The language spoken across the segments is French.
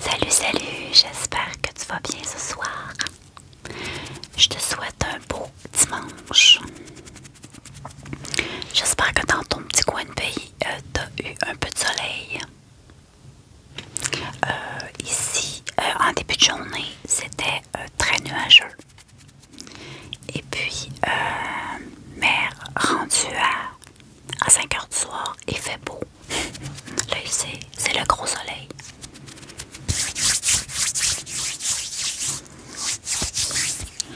Salut, salut, j'espère que tu vas bien ce soir. Je te souhaite un beau dimanche. J'espère que dans ton petit coin de pays, euh, tu as eu un peu de soleil. Euh, ici, euh, en début de journée, c'était très nuageux. Et puis, mère rendue à à 5 heures du soir, il fait beau. Là, ici, c'est le gros soleil.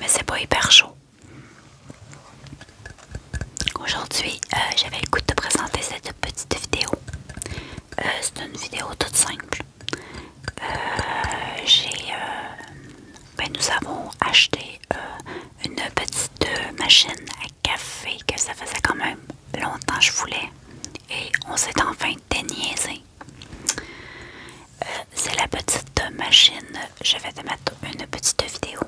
Mais c'est pas hyper chaud. Aujourd'hui, euh, j'avais le goût de te présenter cette petite vidéo. Euh, c'est une vidéo toute simple. Euh, j'ai ben, nous avons acheté euh, une petite euh, machine à café que ça faisait quand même longtemps que je voulais. Et on s'est enfin déniaisé. Euh, c'est la petite machine. Je vais te mettre une petite vidéo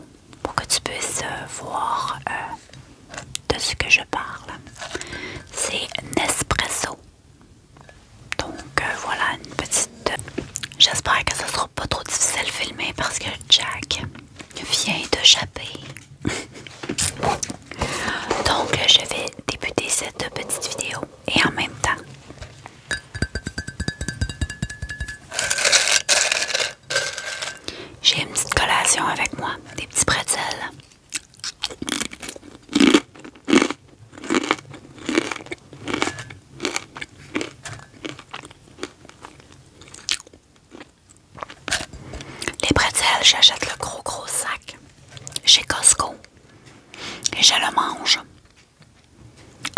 pour que tu puisses voir de ce que je parle. C'est Nespresso. Donc voilà une petite. J'espère que ce sera pas trop difficile filmer parce que Jack vient de Donc je vais débuter cette petite vidéo et en même temps. J'ai une petite collation avec moi, des petits pretzels. Les pretzels, j'achète le gros gros sac chez Costco et je le mange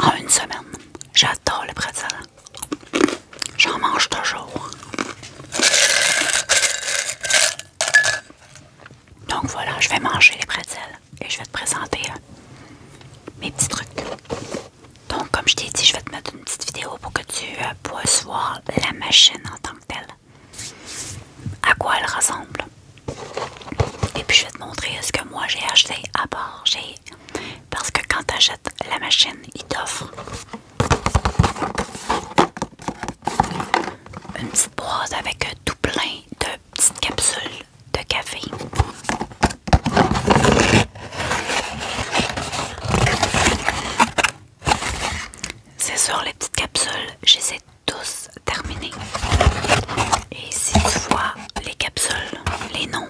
en une semaine. J'adore les pretzels. J'en mange toujours. Donc voilà, je vais manger les pretzels et je vais te présenter mes petits trucs. Donc, comme je t'ai dit, je vais te mettre une petite vidéo pour que tu euh, puisses voir la machine en tant que telle, à quoi elle ressemble. Et puis, je vais te montrer ce que moi j'ai acheté à part. Parce que quand tu achètes la machine, il t'offre une petite boîte avec euh, tout plein de petites capsules de café. C'est sûr, les petites capsules, je les tous terminées. Et si tu vois les capsules, les noms,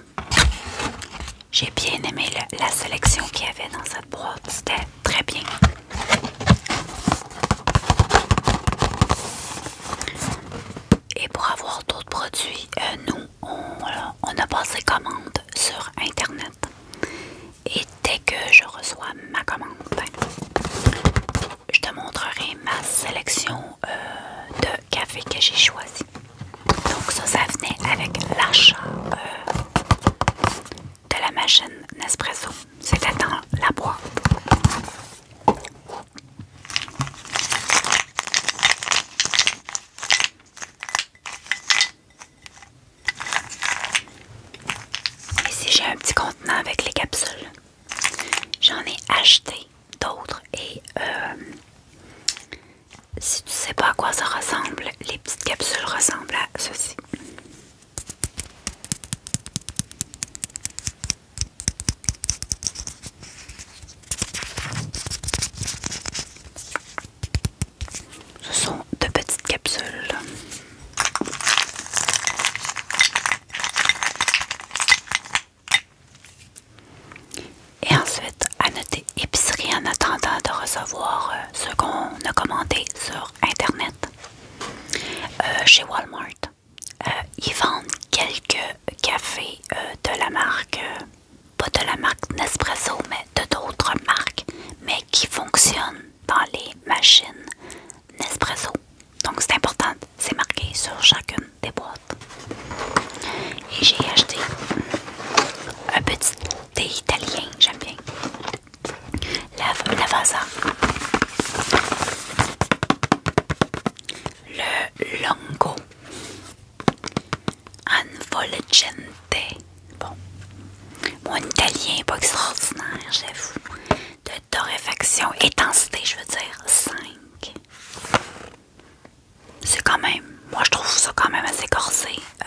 j'ai bien aimé la sélection qu'il y avait dans cette boîte, c'était très bien. Et pour avoir d'autres produits, euh, nous, on, a passé commande sur Internet. Et dès que je reçois ma commande, ben, je te montrerai ma sélection euh, de café que j'ai choisi. Donc ça, ça venait avec l'achat euh, de la machine Nespresso. C'était dans la boîte. Ici, j'ai un petit contenant avec les capsules. J'en ai acheté d'autres et euh, si tu sais pas à quoi ça ressemble, les petites capsules ressemblent à ceci. Ce sont de petites capsules. Et ensuite, à noter épicerie en attendant de recevoir euh, ce qu'on a commandé sur Internet. Euh, chez Walmart, euh, ils vendent quelques cafés euh, de la marque, pas de la marque Nespresso, mais de d'autres marques, mais qui fonctionnent dans les machines Nespresso. Donc c'est important, c'est marqué sur chacune des boîtes. Et j'ai acheté un petit thé italien, j'aime bien la, la le longo, Anvolgente. Bon, mon italien pas extraordinaire, j'avoue. De torréfaction, intensité, je veux dire 5. C'est quand même, moi je trouve ça quand même assez corsé. Euh,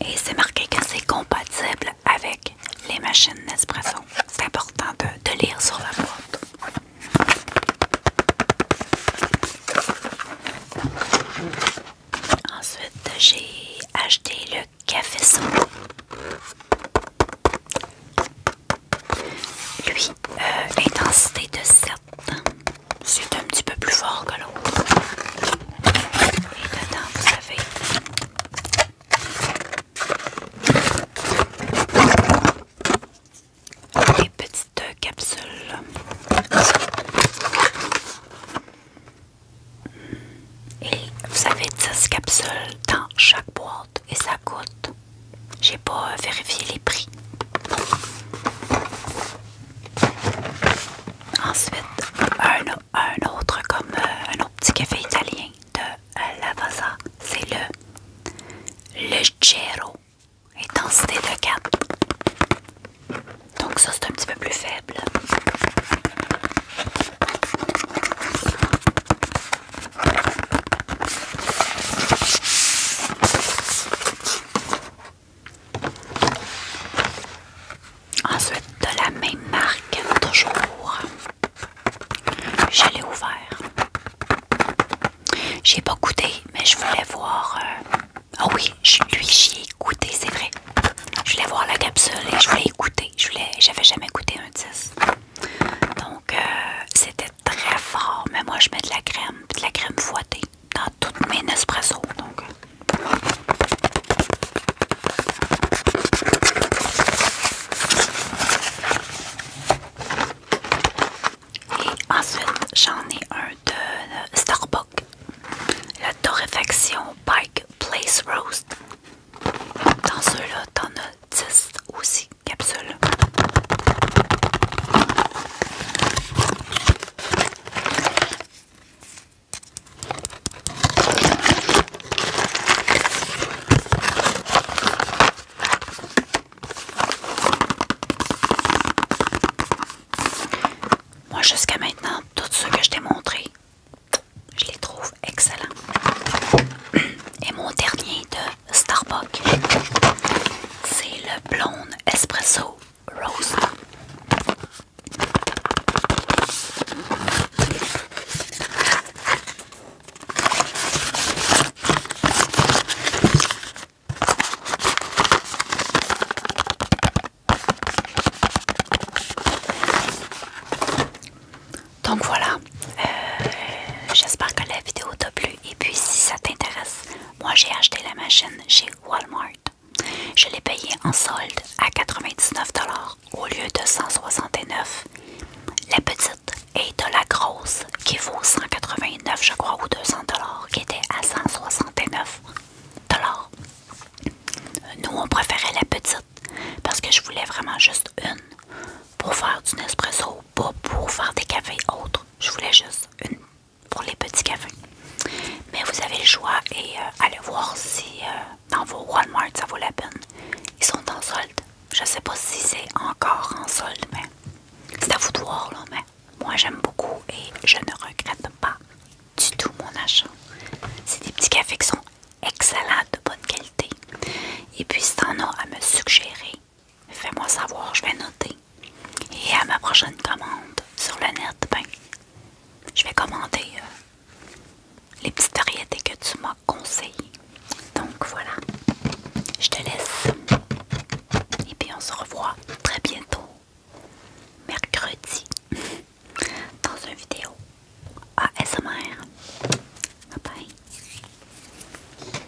Et c'est marqué que c'est compatible avec les machines Nespresso. C'est important de, lire sur la boîte. Ensuite, j'ai acheté le café son. Lui, euh, intensité de 7. C'est un petit peu plus fort que l'autre. Et dedans, vous savez. Des petites capsules. Et vous avez 10 capsules dans chaque boîte et ça coûte. J'ai pas euh, vérifié les prix. Ensuite, autre un autre comme euh, un autre petit café italien de euh, la c'est le Leggero, intensité de 4. Donc ça c'est un petit peu plus faible. Ensuite, de la même marque, toujours, je l'ai ouvert. J'ai pas goûté, mais je voulais voir. Euh, ah oui, lui, j'y ai goûté, c'est vrai. Je voulais voir la capsule et je voulais écouter Je voulais, j'avais jamais goûté un 10. Donc, euh, c'était très fort, mais moi, je mets de la crème, de la crème fouettée dans toutes mes Nespresso. Donc. Euh, Et ensuite, j'en ai un de, euh, Starbucks, la torréfaction Pike Place Roast. Dans ceux-là, t'en as 10 aussi capsules. Moi, jusqu'à maintenant, tout ce que je t'ai montré, je les trouve excellents. Et mon dernier de Starbucks, c'est le blonde espresso donc voilà, euh, j'espère que la vidéo t'a plu et puis si ça t'intéresse, moi, j'ai acheté la machine chez Walmart. Je l'ai payée en solde à 99 au lieu de 169. La petite est de la grosse qui vaut 189, je crois, ou 200 qui était à 169 Nous, on préférait la petite parce que je voulais vraiment juste une pour faire du Nespresso, pas pour faire des cafés autres. Je voulais juste une pour les petits cafés. Mais vous avez le choix et euh, allez voir si euh, dans vos Walmart ça vaut la peine. Ils sont en solde. Je sais pas si c'est encore en solde, mais c'est à vous de voir là, mais moi j'aime beaucoup et je ne regrette pas du tout mon achat. C'est des petits cafés qui sont excellents, de bonne qualité. Et puis si t'en as à me suggérer, Fais-moi savoir, je vais noter. Et à ma prochaine commande sur le net, ben, je vais commander euh, les petites variétés que tu m'as conseillées. Donc voilà, je te laisse. Et puis on se revoit très bientôt, mercredi, dans une vidéo ASMR. Bye bye.